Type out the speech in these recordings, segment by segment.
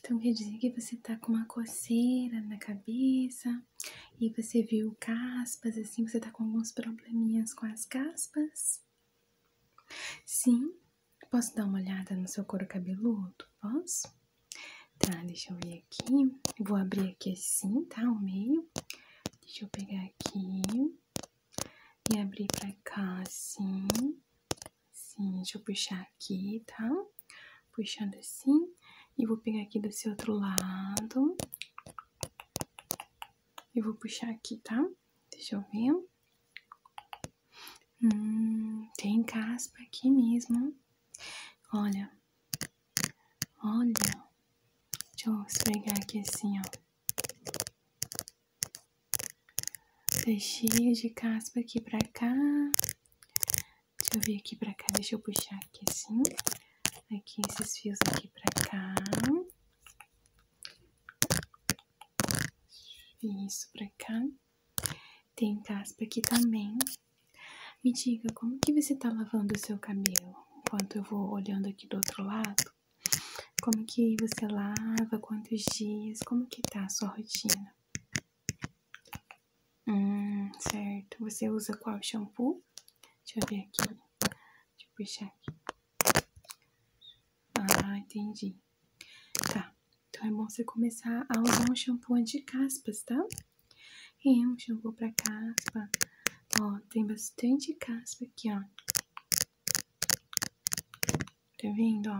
Então quer dizer que você tá com uma coceira na cabeça e você viu caspas, assim, você tá com alguns probleminhas com as caspas? Sim, posso dar uma olhada no seu couro cabeludo? Posso? Tá, deixa eu ver aqui. Vou abrir aqui assim, tá? O meio. Deixa eu pegar aqui. E abrir pra cá, assim. Assim, deixa eu puxar aqui, tá? Puxando assim. E vou pegar aqui desse outro lado. E vou puxar aqui, tá? Deixa eu ver. Hum, tem caspa aqui mesmo. Olha. Olha. Deixa eu esfregar aqui assim, ó. Peixinho de caspa aqui pra cá. Deixa eu vir aqui pra cá, deixa eu puxar aqui assim. Aqui, esses fios aqui pra cá. Isso pra cá. Tem caspa aqui também. Me diga, como que você tá lavando o seu cabelo? Enquanto eu vou olhando aqui do outro lado. Como que você lava, quantos dias, como que tá a sua rotina? Hum, certo. Você usa qual shampoo? Deixa eu ver aqui. Deixa eu puxar aqui. Ah, entendi. Tá. Então é bom você começar a usar um shampoo anti-caspas, tá? É, um shampoo para caspa. Ó, tem bastante caspa aqui, ó. Tá vendo,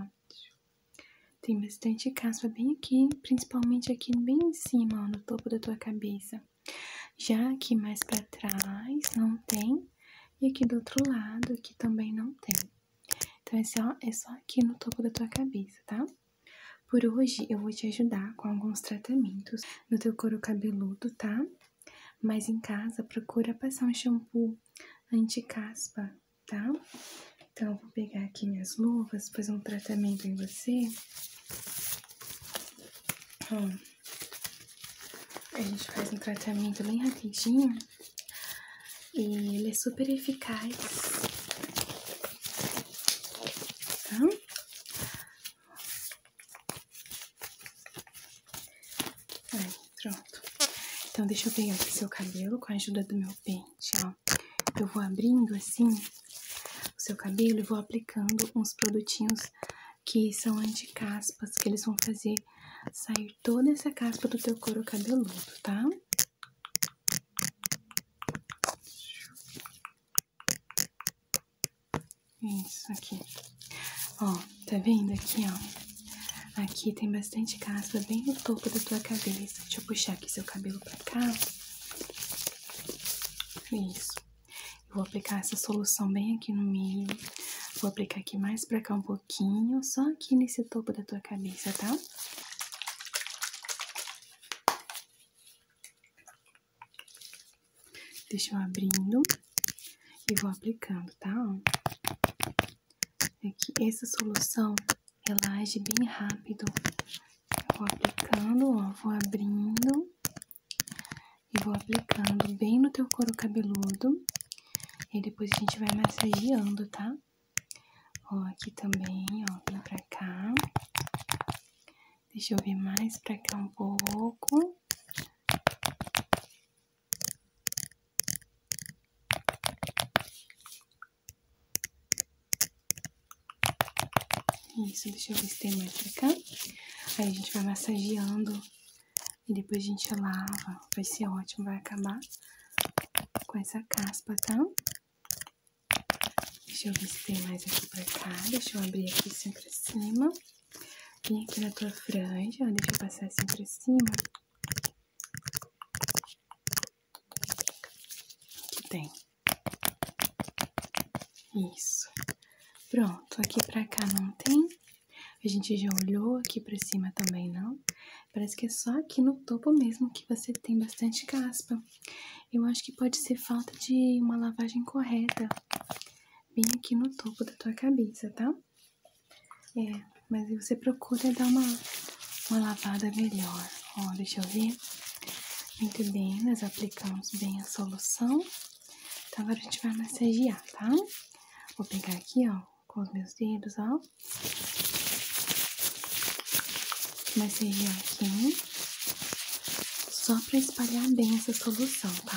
Tem bastante caspa bem aqui, principalmente aqui bem em cima, no topo da tua cabeça. Já aqui mais pra trás não tem, e aqui do outro lado aqui também não tem. Então, é só, é só aqui no topo da tua cabeça, tá? Por hoje, eu vou te ajudar com alguns tratamentos no teu couro cabeludo, tá? Mas em casa, procura passar um shampoo anti-caspa, tá? Então, eu vou pegar aqui minhas luvas, fazer um tratamento em você. Ó, a gente faz um tratamento bem rapidinho e ele é super eficaz, tá? Aí, pronto. Então, deixa eu pegar aqui seu cabelo com a ajuda do meu pente, ó. Eu vou abrindo assim o seu cabelo e vou aplicando uns produtinhos que são anti-caspas, que eles vão fazer sair toda essa caspa do teu couro cabeludo, tá? Isso aqui. Ó, tá vendo aqui, ó? Aqui tem bastante casca bem no topo da tua cabeça. Deixa eu puxar aqui seu cabelo pra cá. Isso. vou aplicar essa solução bem aqui no meio. Vou aplicar aqui mais pra cá um pouquinho, só aqui nesse topo da tua cabeça, tá? Deixa eu abrindo e vou aplicando, tá? É essa solução, ela age bem rápido. vou aplicando, ó, vou abrindo e vou aplicando bem no teu couro cabeludo. E depois a gente vai massageando, tá? Ó, aqui também, ó, vem pra cá. Deixa eu ver mais pra cá um pouco. Isso, deixa eu ver se tem mais pra cá. Aí a gente vai massageando e depois a gente lava. Vai ser ótimo, vai acabar com essa caspa, tá? Deixa eu ver se tem mais aqui pra cá. Deixa eu abrir aqui sempre cima Vem aqui na tua franja, deixa eu passar assim pra cima. Aqui tem. Isso. Pronto, aqui pra cá não tem. A gente já olhou aqui pra cima também, não? Parece que é só aqui no topo mesmo que você tem bastante caspa. Eu acho que pode ser falta de uma lavagem correta bem aqui no topo da tua cabeça, tá? É, mas você procura dar uma, uma lavada melhor. Ó, deixa eu ver. Muito bem, nós aplicamos bem a solução. Então, agora a gente vai massagear, tá? Vou pegar aqui, ó, com os meus dedos, ó. Massagear aqui. Só pra espalhar bem essa solução, tá?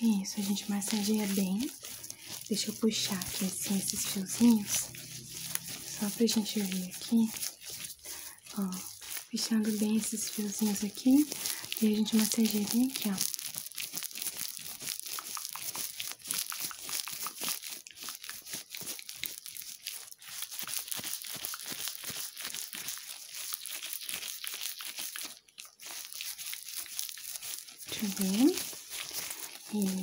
Isso, a gente massageia bem. Deixa eu puxar aqui assim esses fiozinhos. Só pra gente ver aqui. puxando bem esses fiozinhos aqui. E a gente massageia bem aqui, ó. Muito bem.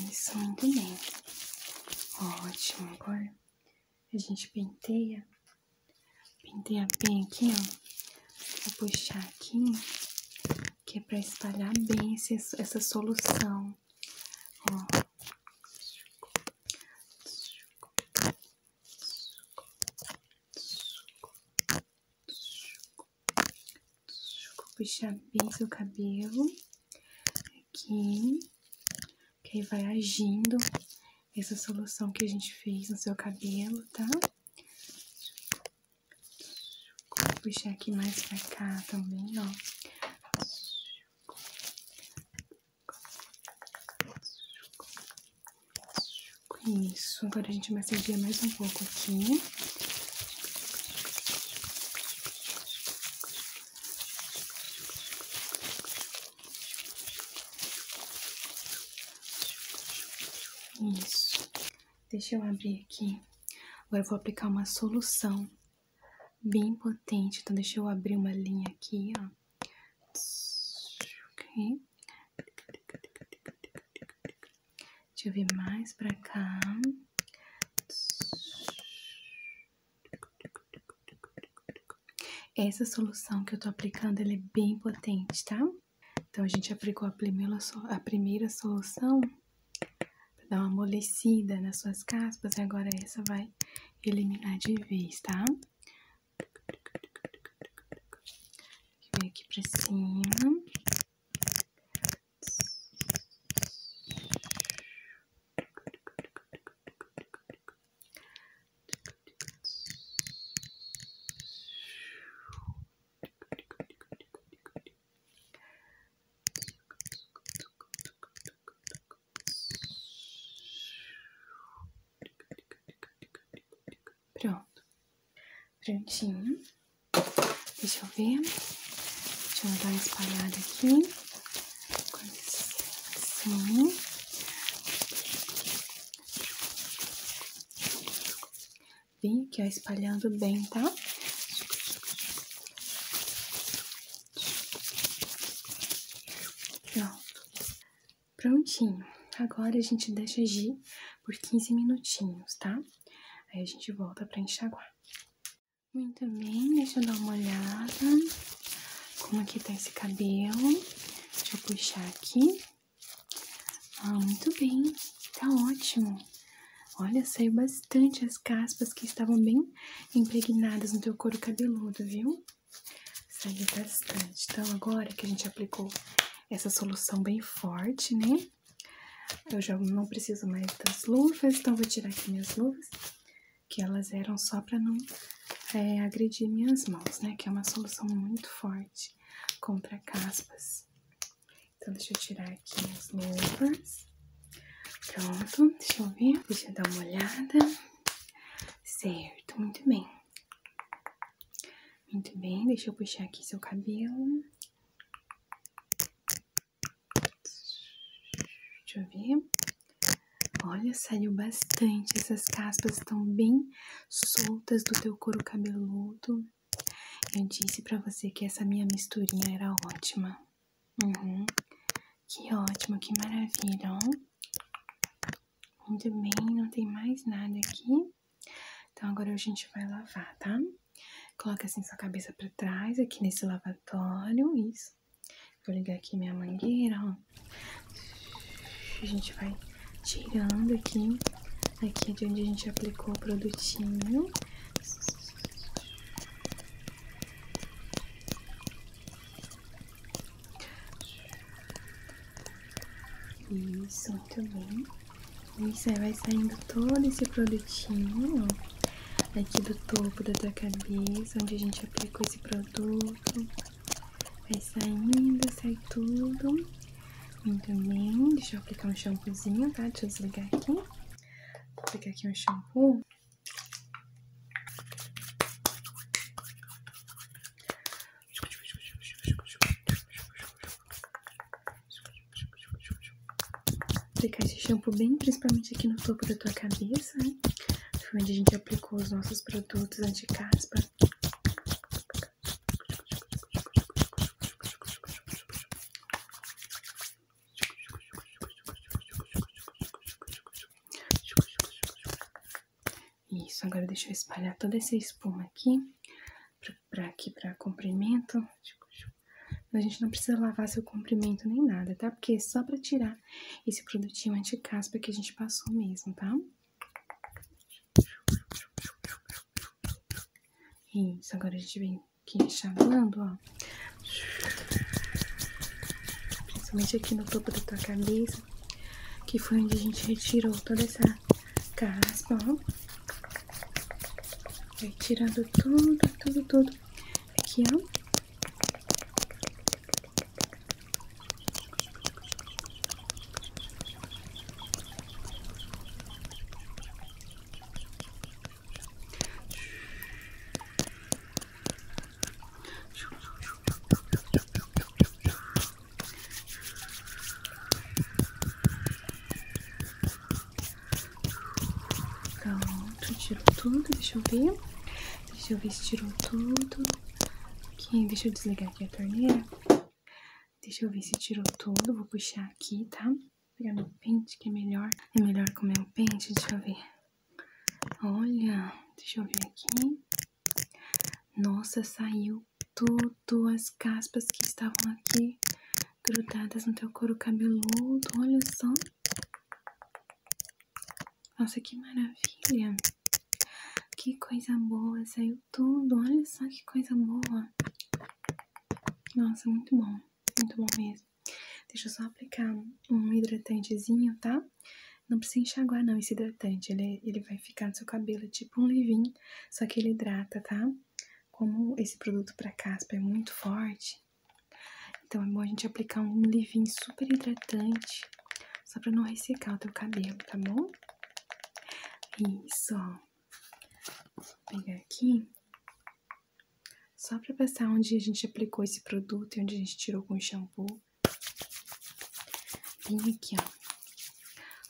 Isso, muito bem. Ótimo. Agora a gente penteia. Penteia bem aqui, ó. Vou puxar aqui, que é pra espalhar bem essa solução. Ó puxar bem seu cabelo aqui, que aí vai agindo essa solução que a gente fez no seu cabelo, tá? Vou puxar aqui mais pra cá também, ó. Isso, agora a gente massageia mais um pouco aqui. Isso. Deixa eu abrir aqui. Agora vou aplicar uma solução bem potente. Então, deixa eu abrir uma linha aqui, ó. Deixa eu vir mais pra cá. Essa solução que eu tô aplicando, ela é bem potente, tá? Então, a gente aplicou a primeira, a primeira solução pra dar uma amolecida nas suas caspas. Agora, essa vai eliminar de vez, tá? Vem aqui pra cima. Pronto. Prontinho. Deixa eu ver. Deixa eu dar uma espalhada aqui. Assim. Vem aqui, ó, espalhando bem, tá? Pronto. Prontinho. Agora a gente deixa agir por 15 minutinhos, tá? Aí a gente volta pra enxaguar. Muito bem, deixa eu dar uma olhada. Como aqui tá esse cabelo. Deixa eu puxar aqui. Ah, muito bem. Tá ótimo. Olha, saiu bastante as caspas que estavam bem impregnadas no teu couro cabeludo, viu? Saiu bastante. Então, agora que a gente aplicou essa solução bem forte, né? Eu já não preciso mais das luvas, então vou tirar aqui minhas luvas, que elas eram só para não é, agredir minhas mãos, né? Que é uma solução muito forte contra caspas. Então, deixa eu tirar aqui as luvas. Pronto, deixa eu ver, deixa eu dar uma olhada. Certo, muito bem. Muito bem, deixa eu puxar aqui seu cabelo. Deixa eu ver. Olha, saiu bastante. Essas caspas estão bem soltas do teu couro cabeludo. Eu disse pra você que essa minha misturinha era ótima. Uhum. Que ótimo, que maravilha, ó. Muito bem, não tem mais nada aqui. Então agora a gente vai lavar, tá? Coloca assim sua cabeça para trás aqui nesse lavatório, isso. Vou ligar aqui minha mangueira, ó. A gente vai tirando aqui, aqui de onde a gente aplicou o produtinho. Isso, muito bem. Isso aí vai saindo todo esse produtinho aqui do topo da tua cabeça, onde a gente aplicou esse produto. Vai saindo, sai tudo. Muito bem. Deixa eu aplicar um shampoozinho, tá? Deixa eu desligar aqui. Vou aplicar aqui um shampoo Aplicar esse shampoo bem principalmente aqui no topo da tua cabeça, né? Foi onde a gente aplicou os nossos produtos anti-caspa. Isso, agora deixa eu espalhar toda essa espuma aqui, pra, pra aqui pra comprimento. A gente não precisa lavar seu comprimento nem nada, tá? Porque é só pra tirar esse produtinho anti-caspa que a gente passou mesmo, tá? Isso, agora a gente vem aqui enxaguando, ó. Principalmente aqui no topo da tua cabeça. Que foi onde a gente retirou toda essa caspa, ó. Retirando tudo, tudo, tudo. Aqui, Pronto, tirou tudo, deixa eu ver. Deixa eu ver se tirou tudo. Aqui, deixa eu desligar aqui a torneira. Deixa eu ver se tirou tudo, vou puxar aqui, tá? Vou pegar meu pente que é melhor. É melhor com meu pente, deixa eu ver. Olha, deixa eu ver aqui. Nossa, saiu tudo. As caspas que estavam aqui grudadas no teu couro cabeludo. Olha só. Nossa, que maravilha. Que coisa boa. Saiu tudo. Olha só que coisa boa. Nossa, muito bom. Muito bom mesmo. Deixa eu só aplicar um hidratantezinho, tá? Não precisa enxaguar não esse hidratante, ele, ele vai ficar no seu cabelo é tipo um leave só que ele hidrata, tá? Como esse produto para caspa é muito forte, então é bom a gente aplicar um leave super hidratante, só para não ressecar o teu cabelo, tá bom? Isso, ó. Vou pegar aqui, só para passar onde a gente aplicou esse produto e onde a gente tirou com o shampoo, Bem aqui,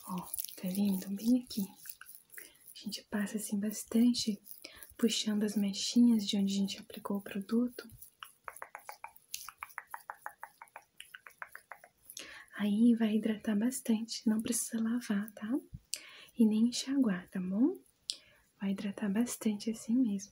ó. Ó, tá vendo? Bem aqui. A gente passa assim bastante, puxando as mechinhas de onde a gente aplicou o produto. Aí vai hidratar bastante, não precisa lavar, tá? E nem enxaguar, tá bom? Vai hidratar bastante assim mesmo.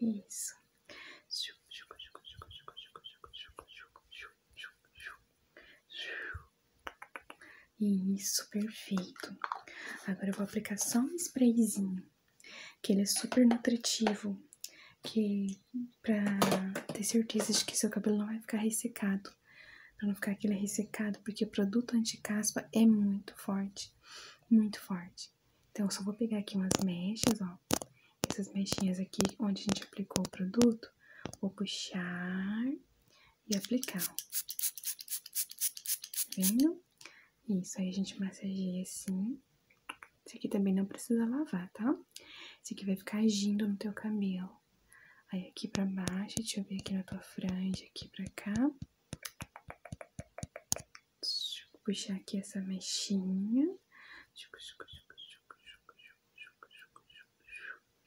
Isso. Isso, perfeito. Agora eu vou aplicar só um sprayzinho, que ele é super nutritivo, que pra ter certeza de que seu cabelo não vai ficar ressecado, pra não ficar aquele ressecado, porque o produto anti-caspa é muito forte, muito forte. Então, eu só vou pegar aqui umas mechas, ó, essas mechinhas aqui, onde a gente aplicou o produto, vou puxar e aplicar, Tá vendo? Isso, aí a gente massageia assim. Esse aqui também não precisa lavar, tá? Esse aqui vai ficar agindo no teu cabelo. Aí aqui pra baixo, deixa eu ver aqui na tua franja, aqui pra cá. Deixa eu puxar aqui essa mexinha.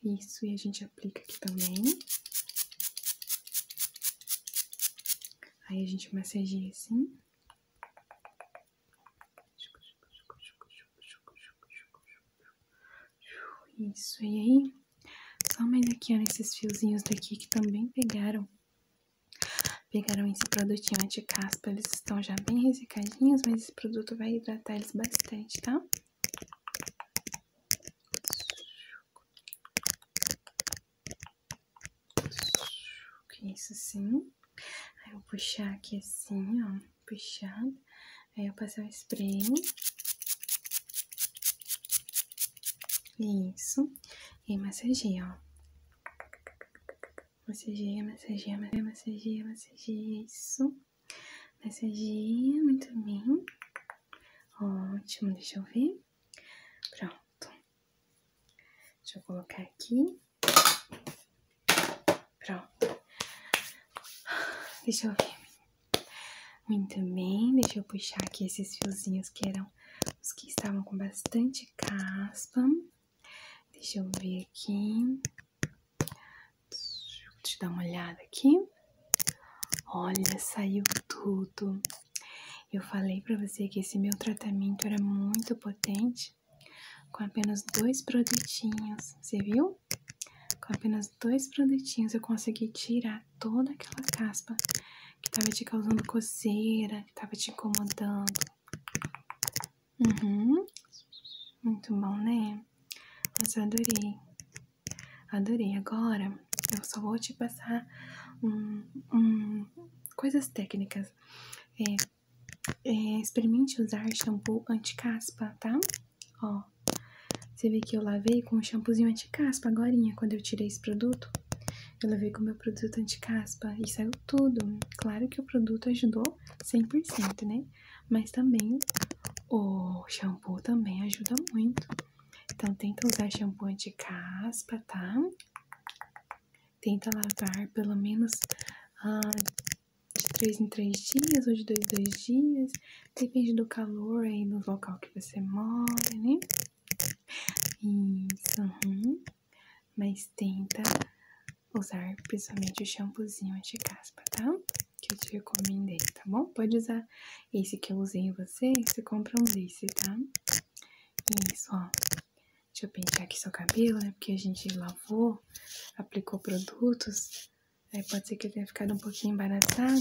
Isso, e a gente aplica aqui também. Aí a gente massageia assim. Isso, e aí? Só mais aqui, ó, nesses fiozinhos daqui que também pegaram. Pegaram esse produtinho anti-caspa, eles estão já bem ressecadinhos, mas esse produto vai hidratar eles bastante, tá? Isso assim. Aí eu vou puxar aqui assim, ó, puxado. Aí eu passar o spray. Isso. E massageia, ó. Massagia, massagia, massagia, massageia, isso. Massagia, muito bem. Ótimo, deixa eu ver. Pronto. Deixa eu colocar aqui. Pronto. Deixa eu ver. Muito bem, deixa eu puxar aqui esses fiozinhos que eram os que estavam com bastante caspa. Deixa eu ver aqui. Deixa eu dar uma olhada aqui. Olha, saiu tudo. Eu falei para você que esse meu tratamento era muito potente, com apenas dois produtinhos, você viu? Com apenas dois produtinhos eu consegui tirar toda aquela caspa que estava te causando coceira, que estava te incomodando. Uhum. Muito bom, né? Mas adorei. Adorei. Agora eu só vou te passar um, um, coisas técnicas. É, é, experimente usar shampoo anti-caspa, tá? Ó, você vê que eu lavei com um shampoozinho anti-caspa agora, quando eu tirei esse produto. Eu lavei com meu produto anti-caspa e saiu tudo. Claro que o produto ajudou 100%, né? Mas também o shampoo também ajuda muito. Então, tenta usar shampoo de caspa tá? Tenta lavar pelo menos ah, de 3 em 3 dias ou de 2 em 2 dias. Depende do calor aí do local que você mora, né? Isso, uhum. Mas tenta usar principalmente o shampoozinho anti-caspa, tá? Que eu te recomendei, tá bom? Pode usar esse que eu usei em você, você compra um desse, tá? Isso, ó. Deixa eu pentear aqui seu cabelo, né? Porque a gente lavou, aplicou produtos. Aí pode ser que eu tenha ficado um pouquinho embaraçado.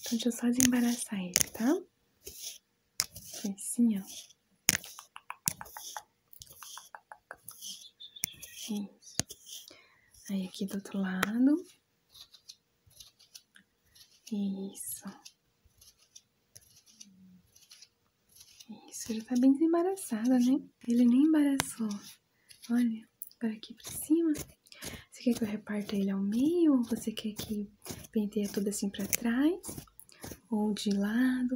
Então deixa eu só desembaraçar ele, tá? Assim, ó. Aí aqui do outro lado. Isso. Isso, já tá bem desembaraçada, né? Ele nem embaraçou. Olha, agora aqui pra cima. Você quer que eu reparta ele ao meio? Ou você quer que penteie tudo assim pra trás? ou de lado.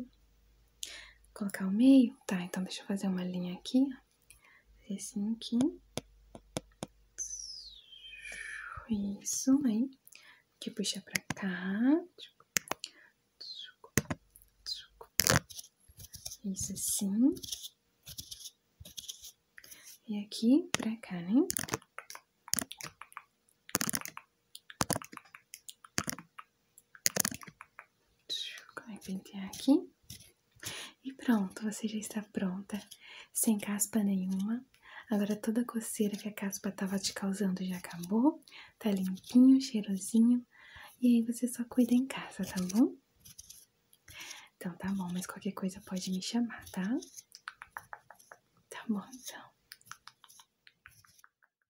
colocar o meio? Tá, então deixa eu fazer uma linha aqui, ó. Assim aqui. Isso, aí. Aqui puxa pra cá. Isso assim. E aqui pra cá, né? Vai pentear é aqui. E pronto, você já está pronta, sem caspa nenhuma. Agora toda a coceira que a caspa estava te causando já acabou. Está limpinho, cheirosinho. E aí você só cuida em casa, tá bom? Então tá bom, mas qualquer coisa pode me chamar, tá? Tá bom, então.